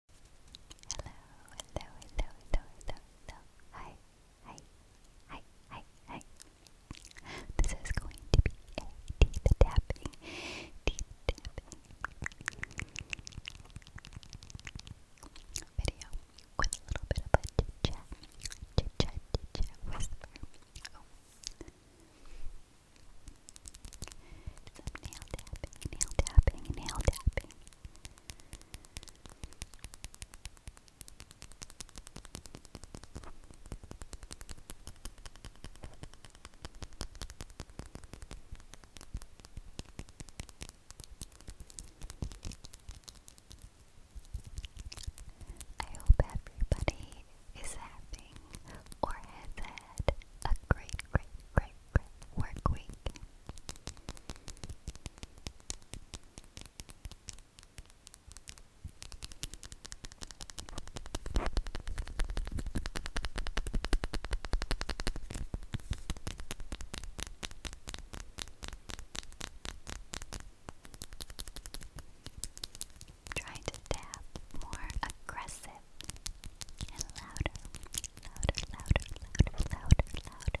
Hello, hello, hello, hello, hello, Hi, hi, hi, hi, hi. This is going to be a teeth tapping, teeth tapping video with a little bit of a chit chat, chit chat, chit chat whisper. Oh. Some nail tapping, nail tapping, nail tapping. I hope everybody is having or has had a great, great, great, work week. Try to tap more aggressive it. And louder, louder, louder, louder, louder, louder.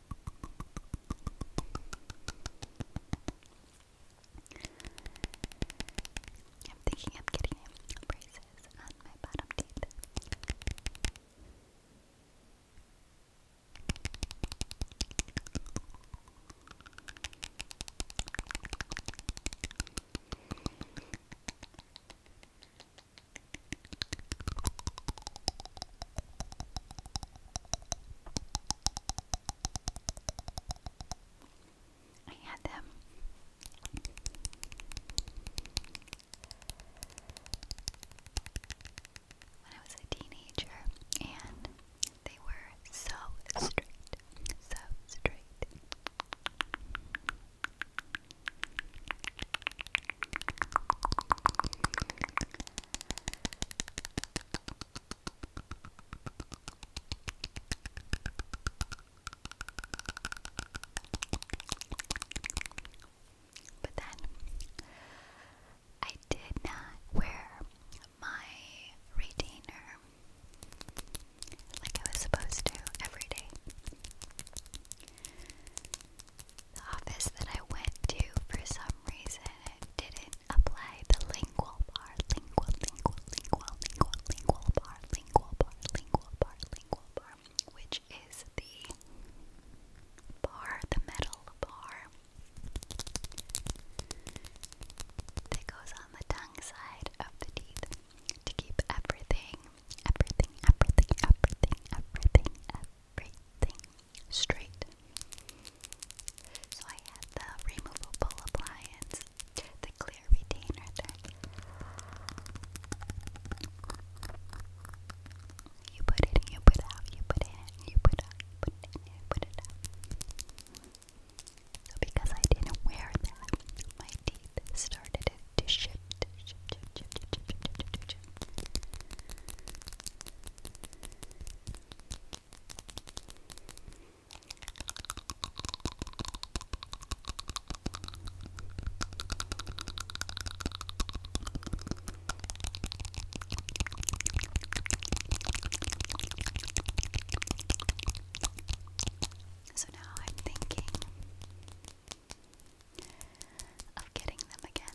I'm thinking of getting braces on my bottom teeth. I had them. When I was a teenager, and they were so straight, so straight. But then I did not wear my retainer like I was supposed to every day. The office that I went to, for some reason, it didn't apply the lingual bar, lingual, lingual, lingual, lingual, lingual bar, lingual bar, lingual bar, lingual bar, which is the bar, the metal bar that goes on the tongue side of the teeth to keep everything, everything, everything, everything, everything, everything, straight. So I had the removable appliance, the clear retainer You put it in, you put it out, you put it in, you put it out, So because I didn't wear that, my teeth started to shift. So now I'm thinking of getting them again.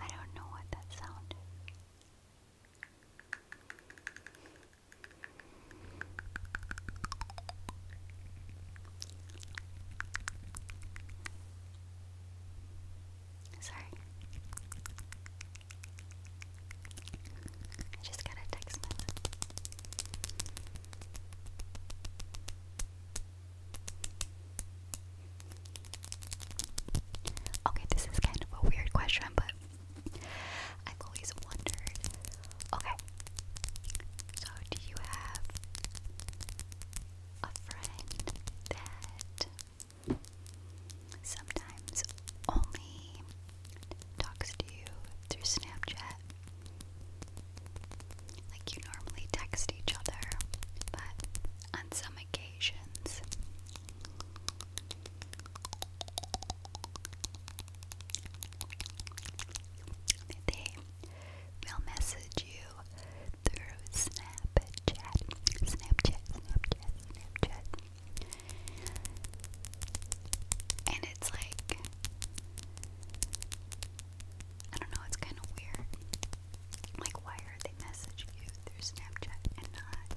I don't know what that sound Sorry. I just got a text message. Okay, this is kind of a weird question, but I've always wondered. Okay, so do you have a friend that sometimes only talks to you through Snapchat? Like you normally text each other, but on some occasions they will message you through Snapchat, Snapchat, Snapchat, Snapchat. And it's like, I don't know, it's kind of weird. Like, why are they messaging you through Snapchat and not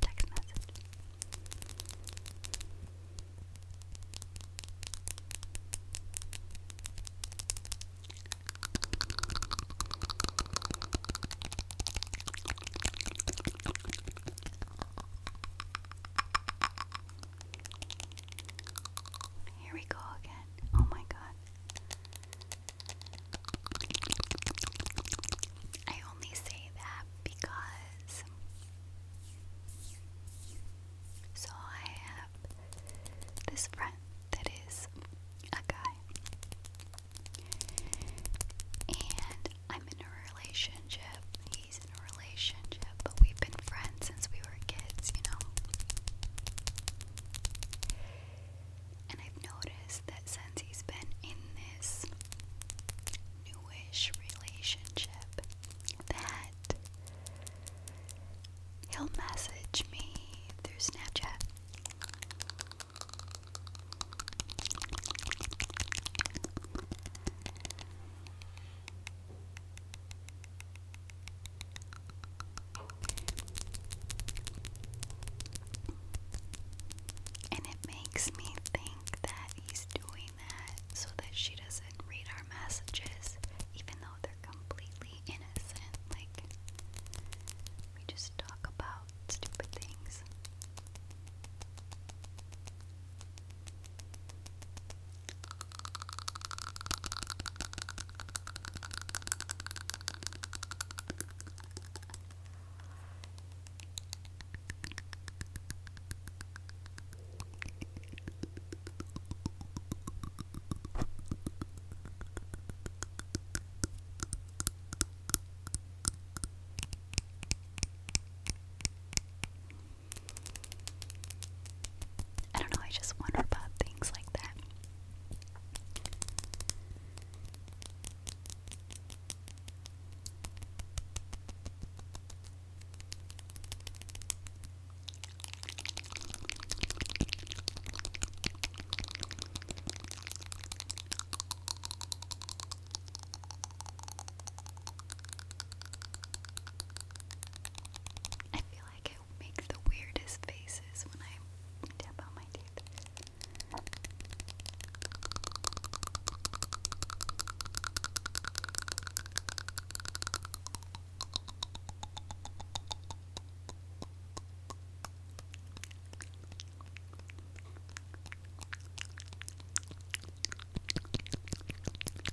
text message? Here we go again. Oh my god. I only say that because so I have this friend that is a guy and I'm in a relationship. He's in a relationship, but we've been friends since we were kids, you know. And I've noticed that since he's been in this newish relationship, that he'll message me through Snapchat. And it makes me think that he's doing that so that she doesn't read our messages, even though they're completely innocent. Like, we just talk about stupid things. I don't know, I just wonder about things like that. I feel like make the weirdest faces when I tap on my teeth.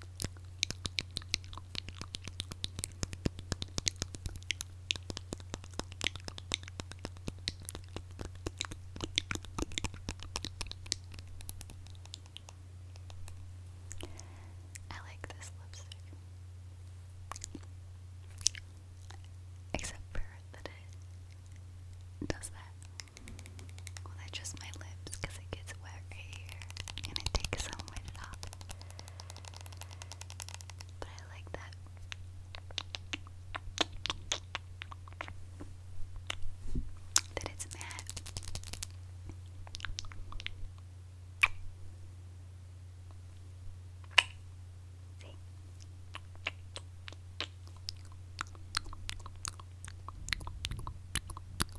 I like this lipstick. Except for that it does that. Well, that's just my lips because it gets wet right here. I'm gonna take off. But I like that. That it's matte. See?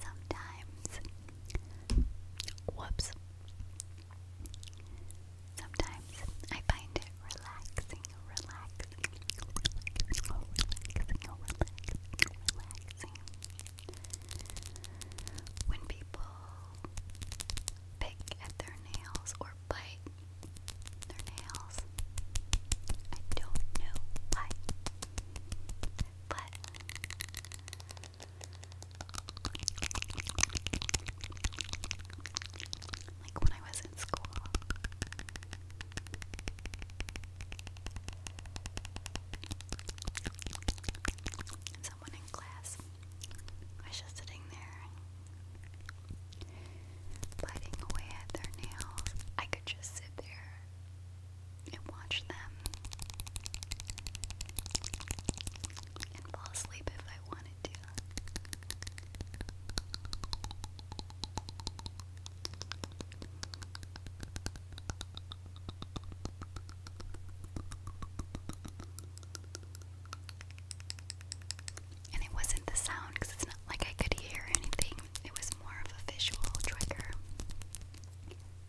Sometimes, whoops. Sometimes I find it relaxing, relaxing, relaxing, relaxing, When people pick at their nails or bite their nails, I don't know why, but like when I was in school. someone in class was just sitting there biting away at their nails. I could just sit there and watch them and fall asleep if I wanted to. And it wasn't the sound because it's like I could hear anything, it was more of a visual trigger.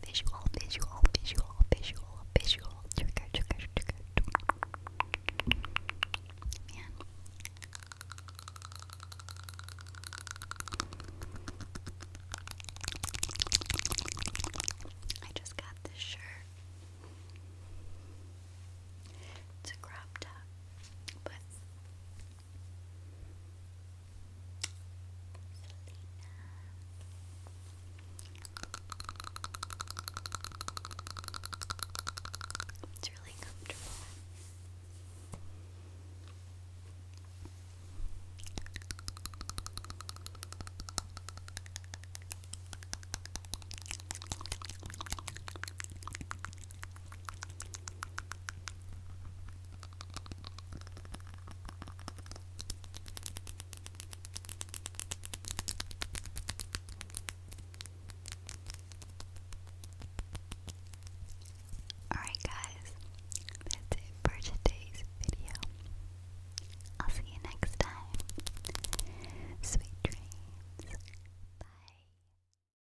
Visual, visual, visual, visual, visual trigger, trigger, trigger. Man. I just got this shirt. It's a crop top, but it's really comfortable. Alright, guys, that's it for today's video. I'll see you next time. Sweet dreams. Bye.